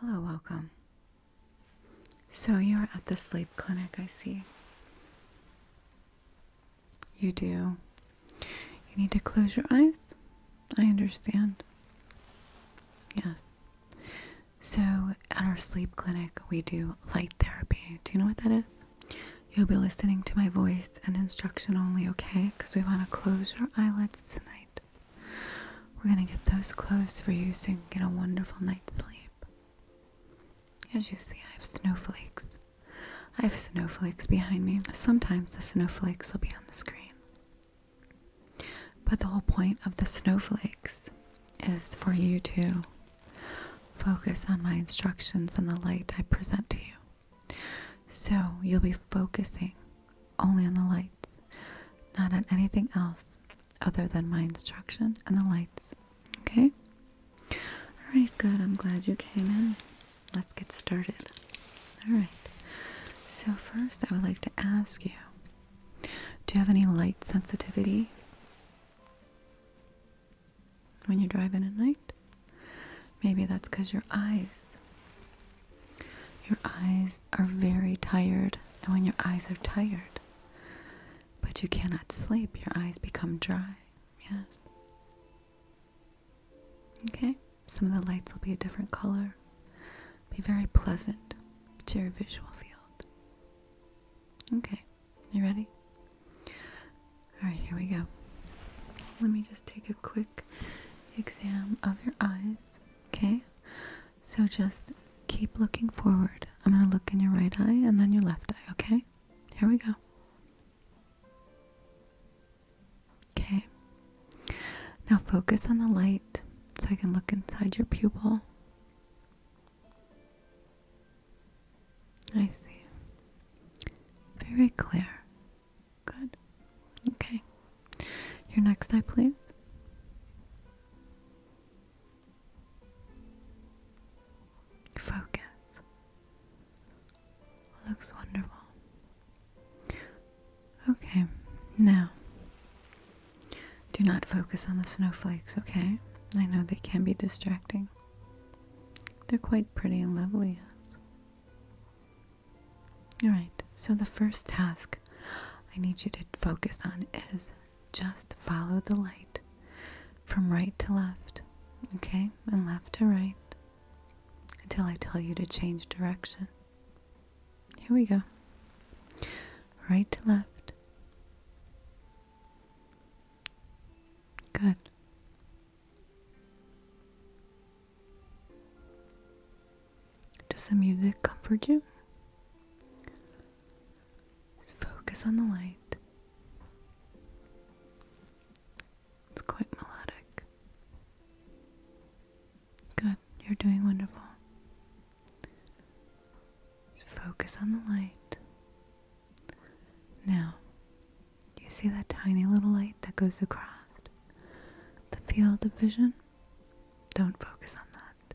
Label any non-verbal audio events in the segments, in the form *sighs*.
Hello, welcome. So you're at the sleep clinic, I see. You do. You need to close your eyes. I understand. Yes. So, at our sleep clinic, we do light therapy. Do you know what that is? You'll be listening to my voice and instruction only, okay? Because we want to close your eyelids tonight. We're going to get those closed for you so you can get a wonderful night's sleep. As you see, I have snowflakes. I have snowflakes behind me. Sometimes the snowflakes will be on the screen. But the whole point of the snowflakes is for you to Focus on my instructions and the light I present to you. So you'll be focusing only on the lights, not on anything else other than my instruction and the lights. Okay? Alright, good. I'm glad you came in. Let's get started. Alright. So, first, I would like to ask you do you have any light sensitivity? when you're driving at night. Maybe that's because your eyes. Your eyes are very tired, and when your eyes are tired, but you cannot sleep, your eyes become dry. Yes. Okay, some of the lights will be a different color. Be very pleasant to your visual field. Okay. You ready? Alright, here we go. Let me just take a quick exam of your eyes, okay? So just keep looking forward. I'm going to look in your right eye and then your left eye, okay? Here we go. Okay. Now focus on the light so I can look inside your pupil. I see. Very clear. Good. Okay. Your next eye, please. Focus. Looks wonderful. Okay, now do not focus on the snowflakes, okay? I know they can be distracting. They're quite pretty and lovely. Alright, so the first task I need you to focus on is just follow the light from right to left, okay? And left to right until I tell you to change direction. Here we go. Right to left. Good. Does the music comfort you? focus on the light. It's quite melodic. Good, you're doing wonderful focus on the light. Now, you see that tiny little light that goes across the field of vision? Don't focus on that.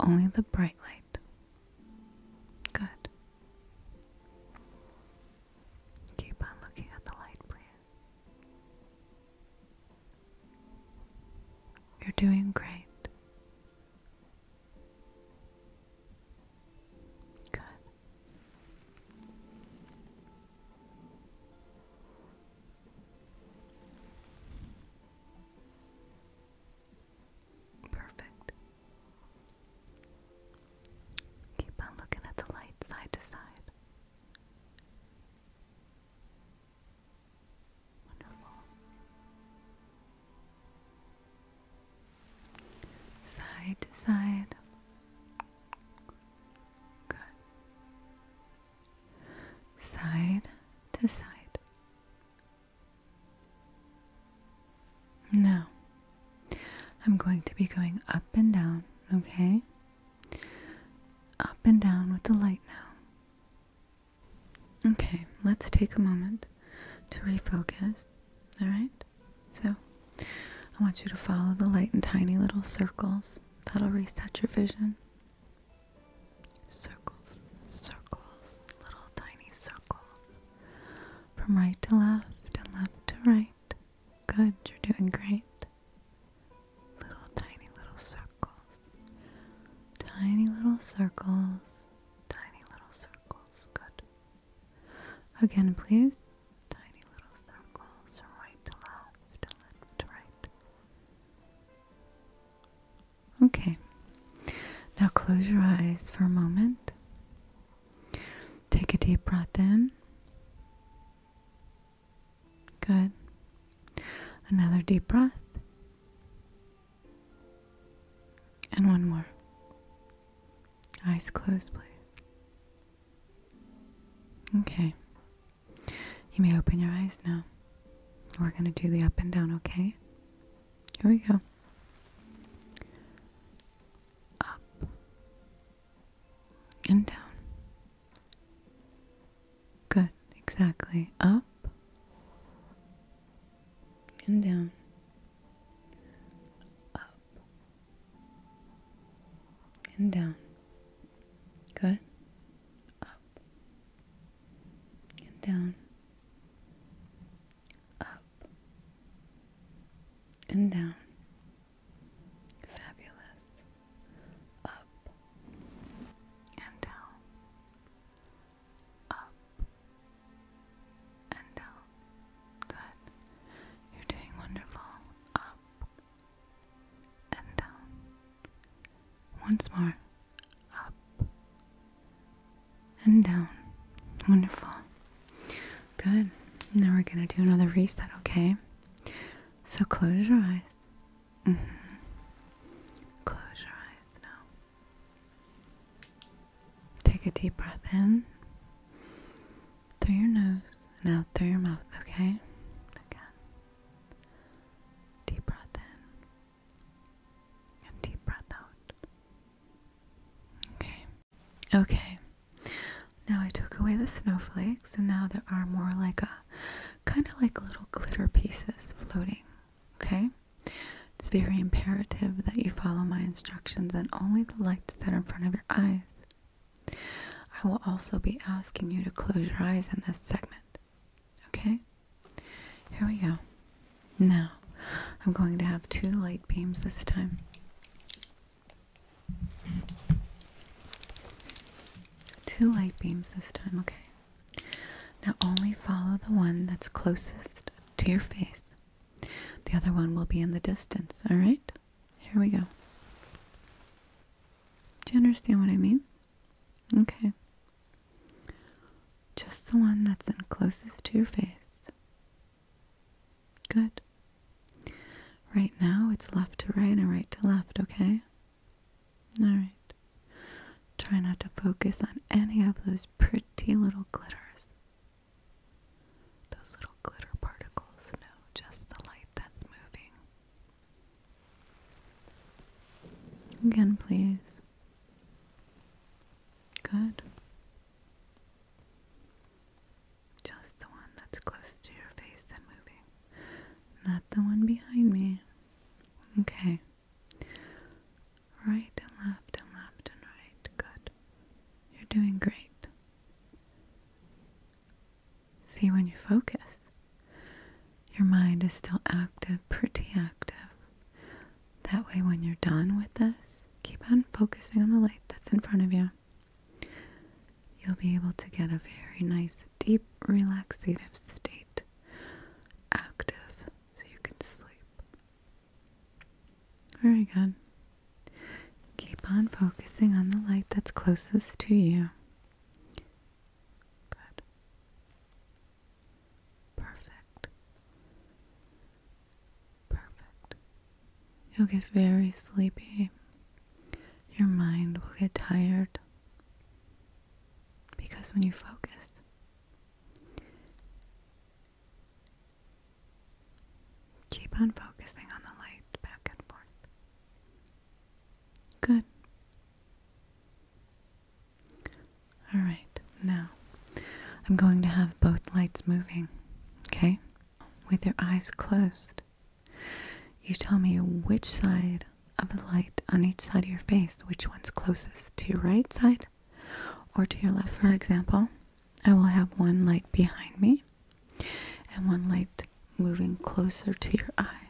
Only the bright light. Good. Keep on looking at the light, please. You're doing great. Good. Perfect. Keep on looking at the light side to side. Wonderful side to side. Good. Side to side. Now, I'm going to be going up and down, okay? Up and down with the light now. Okay, let's take a moment to refocus. Alright? So, I want you to follow the light in tiny little circles. That'll reset your vision. Circles, circles, little tiny circles. From right to left and left to right. Good, you're doing great. Little tiny little circles. Tiny little circles. Tiny little circles. Again, please. Tiny little circles, right to left, left to right. Okay. Now close your eyes for a moment. Take a deep breath in. Good. Another deep breath. And one more. Eyes closed, please. Okay. You may open your eyes now. We're going to do the up and down, okay? Here we go. Up and down. Good, exactly. Up and down, up and down. Good. Up and down. Up and down. Fabulous. Up and down up and down. Good. You're doing wonderful. Up and down. Once more. Up and down. Wonderful. Good. Now we're going to do another reset, okay? So close your eyes. Mm-hmm. Close your eyes now. Take a deep breath in through your nose and out through your mouth, okay? Again. Deep breath in and deep breath out. Okay. Okay. Now I took away the snowflakes and now there are more like a kind of like little glitter pieces floating, okay? It's very imperative that you follow my instructions and only the lights that are in front of your eyes. I will also be asking you to close your eyes in this segment. Okay? Here we go. Now, I'm going to have two light beams this time. Two light beams this time, okay? Now only follow the one that's closest to your face. The other one will be in the distance, alright? Here we go. Do you understand what I mean? Okay. Just the one that's in closest to your face. Good. Right now it's left to right and right to left, okay? Alright. Try not to focus on any of those pretty little glitters. Those little glitter particles, no, just the light that's moving. Again, please. Good. Just the one that's close to your face and moving, not the one behind me. Okay. Right and left and left and right. Good. You're doing great. See, when you focus, your mind is still active, pretty active. That way, when you're done with this, keep on focusing on the light that's in front of you. You'll be able to get a very nice, deep, relaxative state, active, so you can sleep. Very good. Keep on focusing on the light that's closest to you. Good. Perfect. Perfect. You'll get very sleepy. Your mind will get tired. Because when you focus, Keep on focusing on the light back and forth. Good. All right, now I'm going to have both lights moving, okay? With your eyes closed, you tell me which side of the light on each side of your face, which one's closest to your right side or to your left. For side. example, I will have one light behind me and one light moving closer to your eye.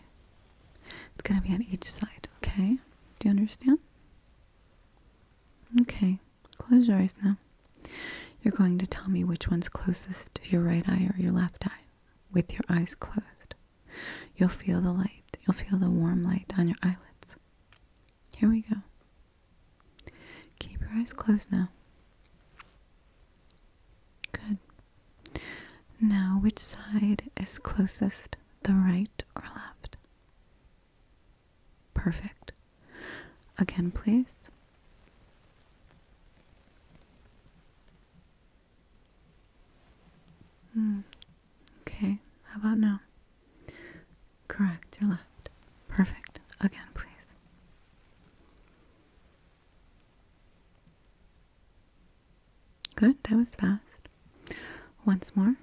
It's going to be on each side, okay? Do you understand? Okay, close your eyes now. You're going to tell me which one's closest to your right eye or your left eye with your eyes closed. You'll feel the light, you'll feel the warm light on your eyelids. Here we go. Keep your eyes closed now. Good. Now, which side is closest, the right or left? Perfect. Again, please. Mm. Okay, how about now? Correct, your left. Perfect. Again, please. Good, that was fast. Once more.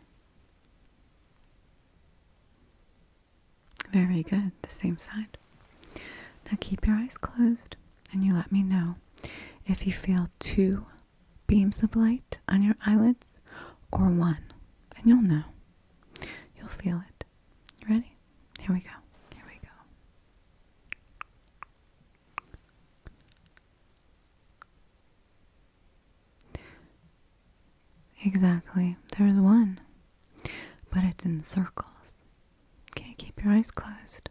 Very good, the same side. Now keep your eyes closed and you let me know if you feel two beams of light on your eyelids or one, and you'll know. You'll feel it. Ready? Here we go. Here we go. Exactly. There's one. But it's in circles. Okay, keep your eyes closed.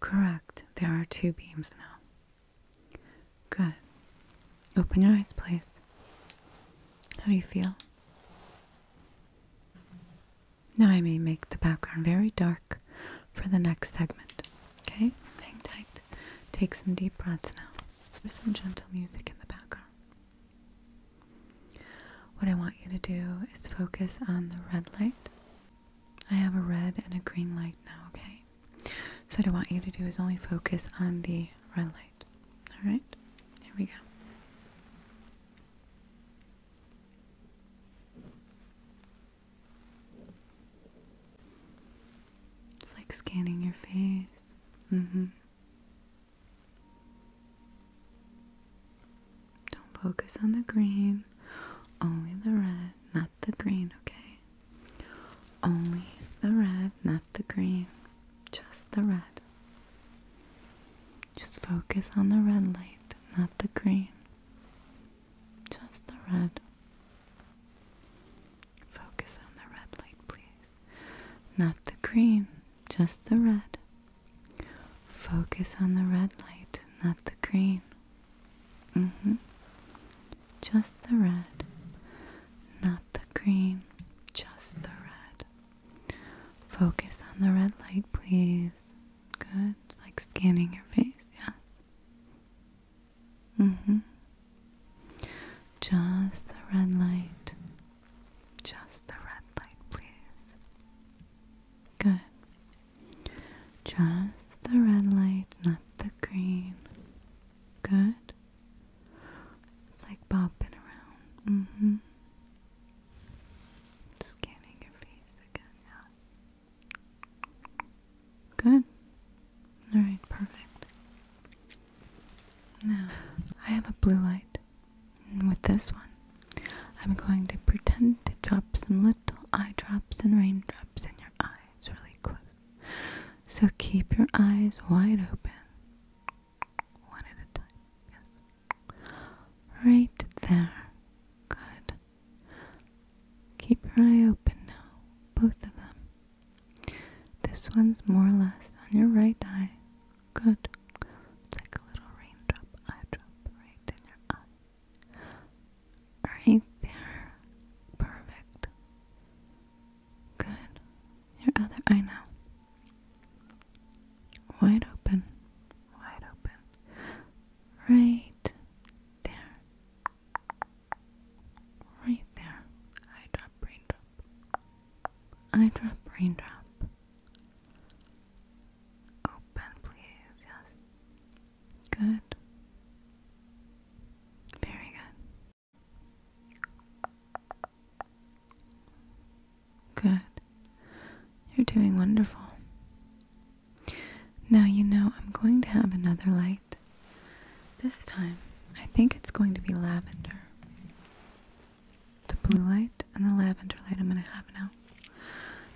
Correct. There are two beams now. Good. Open your eyes, please. How do you feel? Now I may make the background very dark for the next segment. Okay? Hang tight. Take some deep breaths now. There's some gentle music in the background. What I want you to do is focus on the red light. I have a red and a green light now, okay? So, what I want you to do is only focus on the red light. Alright? Here we go. It's like scanning your face. Mm hmm. Don't focus on the green, only the red, not the green, okay? Only the red, not the green, just the red. Just focus on the red light, not the green, just the red. Focus on the red light, please. Not the green, just the red. Focus on the red light, not the green. hmm. Just the red, not the green. Just the red. Focus on the red light, please. Good. like scanning your face, yes. hmm. Just the red light. Just the red light, please. Good. Just the red light, not the green. Good. It's like bopping around. Mm hmm. Scanning your face again. Yeah. Good. Alright, perfect. Now, I have a blue light with this one, I'm going to pretend to drop some little eye drops and raindrops in your eyes really close. So keep your eyes wide open. One at a time. Yes. Right there. Good. Keep your eye open now, both of them. This one's more or less on your right eye, Good. It's like a little raindrop, eye right in your eye. Right there. Perfect. Good. Your other eye now. Wide open. Wide open. Right there. Right there. Eye raindrop. Eye raindrop. Open, please. Yes. Good. Very good. Good. You're doing wonderful. Now, you know, I'm going to have another light. This time, I think it's going to be lavender the blue light and the lavender light I'm going to have now.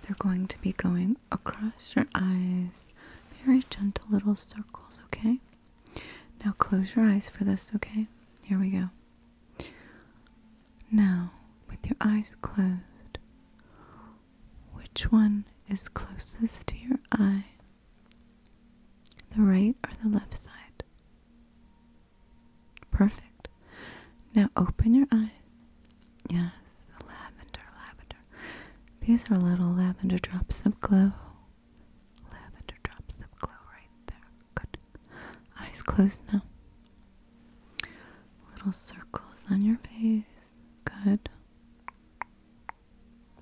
They're going to be going across your eyes, very gentle little circles, okay? Now close your eyes for this, okay? Here we go. Now, with your eyes closed, which one is closest to your eye? The right or the left side? Perfect. Now open your eyes. Yes, lavender, lavender. These are little lavender drops of glow. Lavender drops of glow right there. Good. Eyes closed now. Little circles on your face. Good.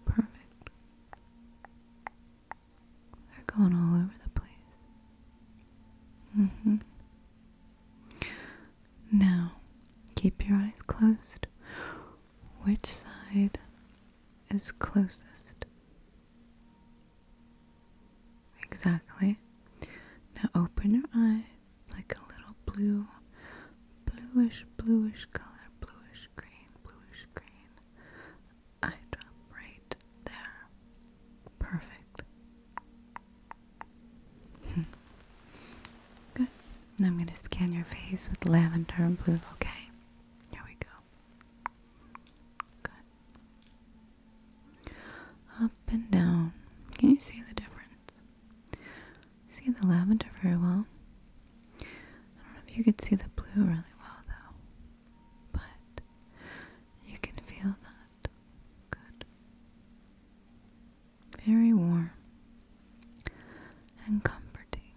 Perfect. They're going all over the place. Mm hmm. Now, keep your eyes closed. Which side is closest? Exactly. Now open your eyes. It's like a little blue, bluish, bluish color, bluish green, bluish green. Eye drop right there. Perfect. Hmm. Good. I'm going to scan your face with lavender and blue, okay? Here we go. Good. Up and down. Can you see the difference? See the lavender very well. I don't know if you can see the blue really well, though. But you can feel that. Good, Very warm and comforting.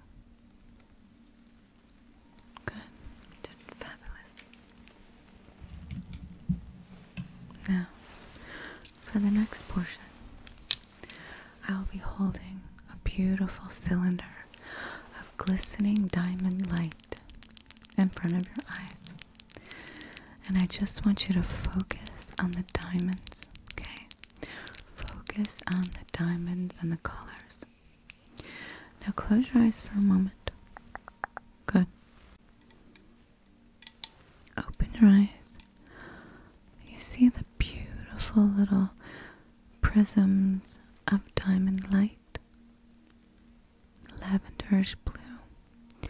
Good, fabulous. Now, for the next portion, I'll be holding a beautiful cylinder of glistening diamond light in front of your eyes. And I just want you to focus on the diamonds, okay? Focus on the diamonds and the colors. Now close your eyes for a moment. Good. Open your eyes. You see the beautiful little prisms of diamond light lavenderish blue.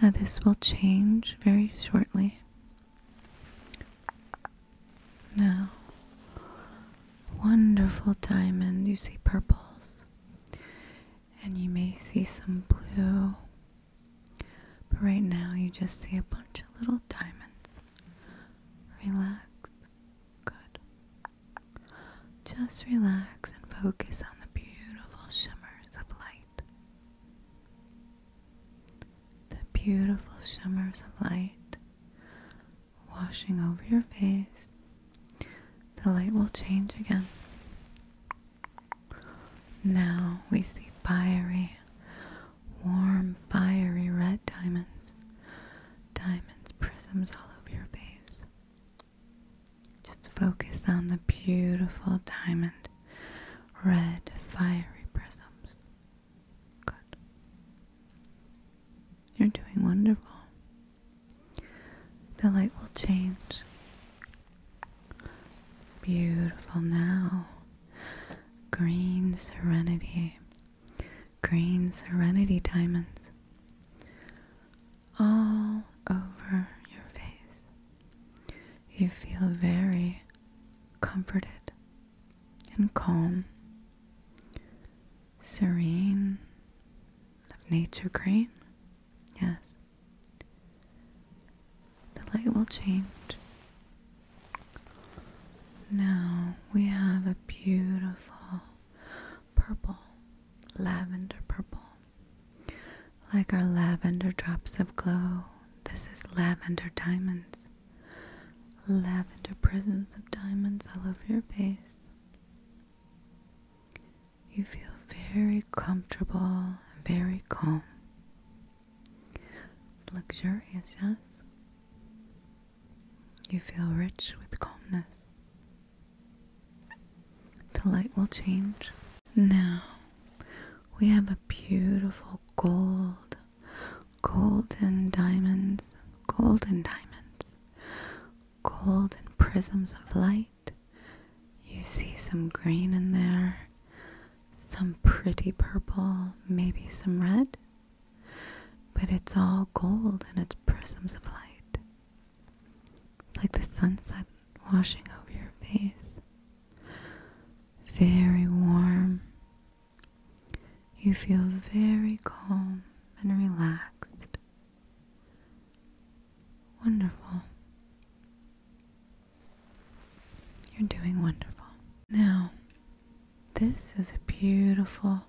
Now, this will change very shortly. Now, wonderful diamond. You see purples, and you may see some blue, but right now you just see a bunch of little diamonds. Relax. Good. Just relax and focus on the beautiful shimmer the beautiful shimmers of light washing over your face. The light will change again. Now we see fiery, warm, fiery red diamonds. Diamonds, prisms all over your face. Just focus on the beautiful diamond red fiery prisms. Good. You're doing wonderful. The light will change. Beautiful now. Green serenity. Green serenity diamonds all over your face. You feel very comforted and calm, serene, nature green. Yes. The light will change. Now we have a beautiful purple, lavender purple. Like our lavender drops of glow, this is lavender diamonds. Lavender prisms of diamonds all over your face. You feel very comfortable, very calm. It's luxurious, yes? You feel rich with calmness. The light will change. Now we have a beautiful gold, golden diamonds, golden diamonds, golden prisms of light. You see some green in there, some pretty purple, maybe some red, but it's all gold and it's prisms of light. It's like the sunset washing over your face. Very warm. You feel very calm and relaxed. Wonderful. You're doing wonderful. Now, this is a beautiful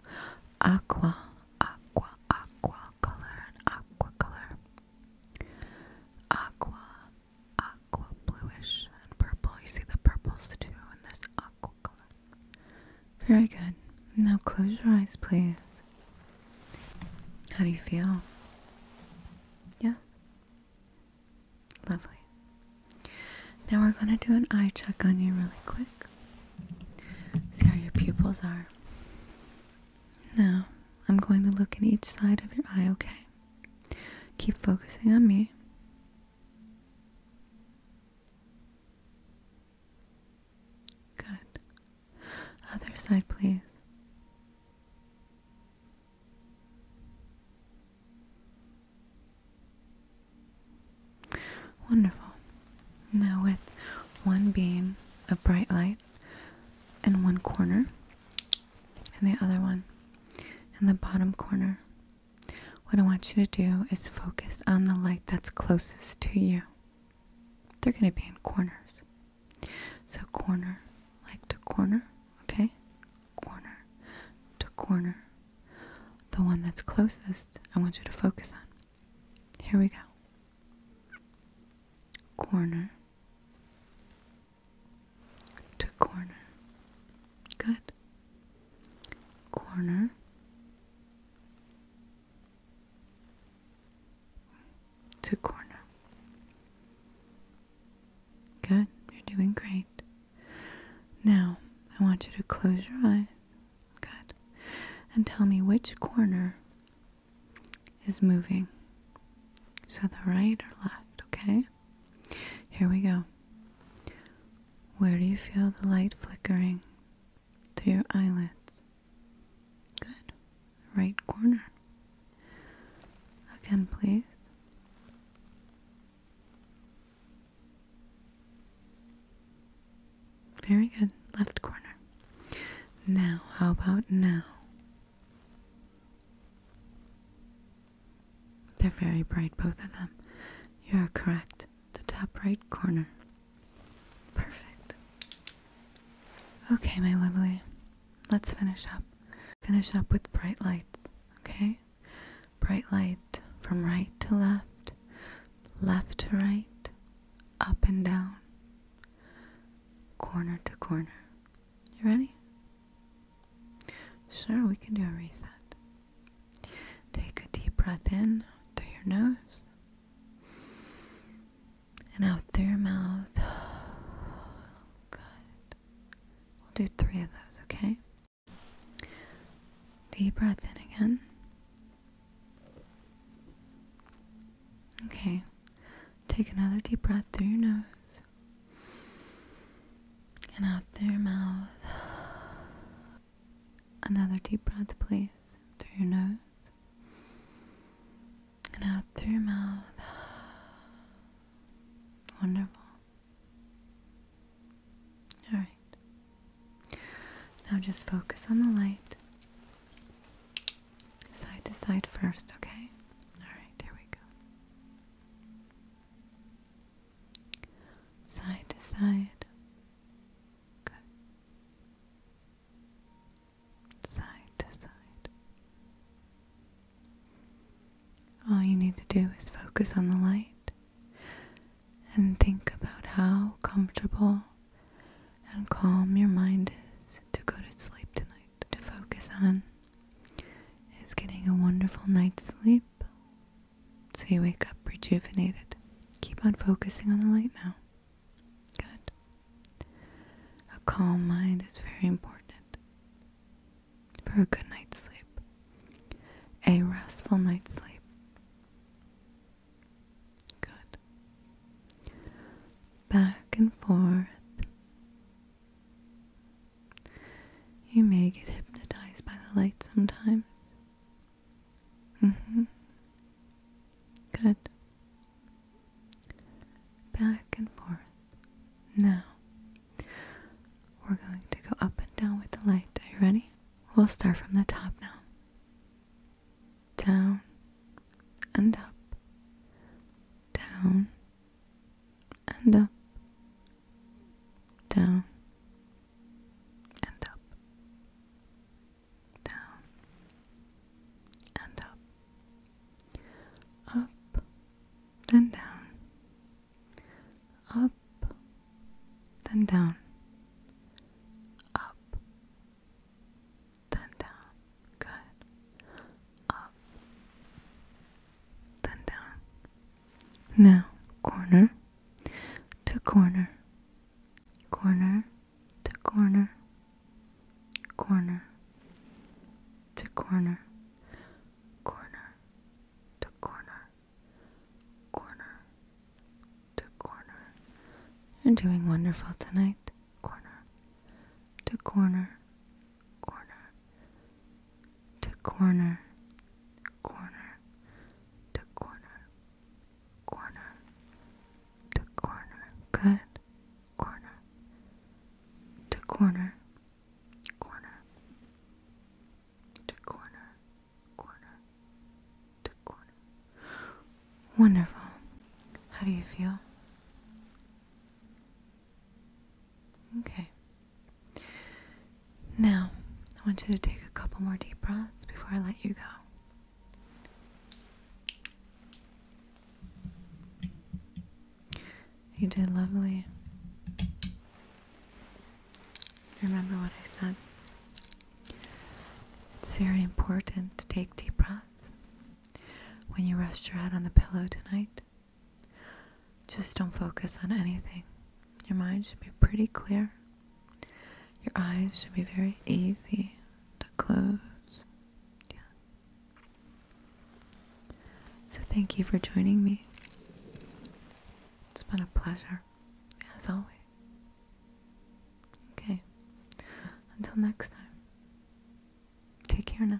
aqua, aqua, aqua color, an aqua color. Aqua, aqua bluish and purple. You see the purples too in this aqua color. Very good. Now close your eyes, please. How do you feel? Yes? Lovely. Now we're going to do an eye check on you really quick. See how your pupils are. Now, I'm going to look at each side of your eye, okay? Keep focusing on me. Good. Other side, please. Wonderful. Now, with one beam of bright light in one corner, and the other one in the bottom corner. What I want you to do is focus on the light that's closest to you. They're going to be in corners. So, corner, like to corner, okay? Corner to corner. The one that's closest, I want you to focus on. Here we go. Corner to corner. Good. Corner. To corner. Good. You're doing great. Now, I want you to close your eyes. Good. And tell me which corner is moving. So the right or left, okay? Here we go. Where do you feel the light flickering? Through your eyelids. Good. Right corner. Again, please. Very good. Left corner. Now, how about now? They're very bright, both of them. You are correct. The top right corner. Perfect. Okay, my lovely. Let's finish up. Finish up with bright lights, okay? Bright light from right to left, left to right, up and down, corner to corner. You ready? Sure, we can do a reset. Take a deep breath in through your nose and out through your mouth. *sighs* Good. We'll do three of those, okay? Deep breath in again. Okay. Take another deep breath through your nose and out through your mouth. Another deep breath, please, through your nose and out through your mouth. Wonderful. All right. Now just focus on the light side to side first, okay? Alright, here we go. Side to side. Good. Side to side. All you need to do is focus on the light and think about how comfortable and calm your mind is to go to sleep tonight, to focus on is getting a wonderful night's sleep so you wake up rejuvenated. Keep on focusing on the light now. Good. A calm mind is very important for a good night's sleep, a restful night's sleep. Good. Back and forth, you may get hypnotized by the light sometimes. Mm-hmm. Good. Back and forth. Now, we're going to go up and down with the light. Are you ready? We'll start from the top now. Down and up. Down and up, down, and up, down, and up, up, then down, up, then down, up, then down. Good up, then down. Now, corner to corner, corner to corner, corner to corner, corner to corner, corner to corner. You're doing wonderful tonight. Corner to corner corner to corner, corner to corner, corner to corner, good, corner to corner, corner to corner, corner to corner. Wonderful. How do you feel? Okay. Now, I want you to take a couple more deep breaths before I let you go. You did lovely. Remember what I said. It's very important to take deep breaths. When you rest your head on the pillow tonight, just don't focus on anything. Your mind should be pretty clear. Your eyes should be very easy to close. Yeah. So thank you for joining me. It's been a pleasure, as always. Okay. Until next time. Take care now.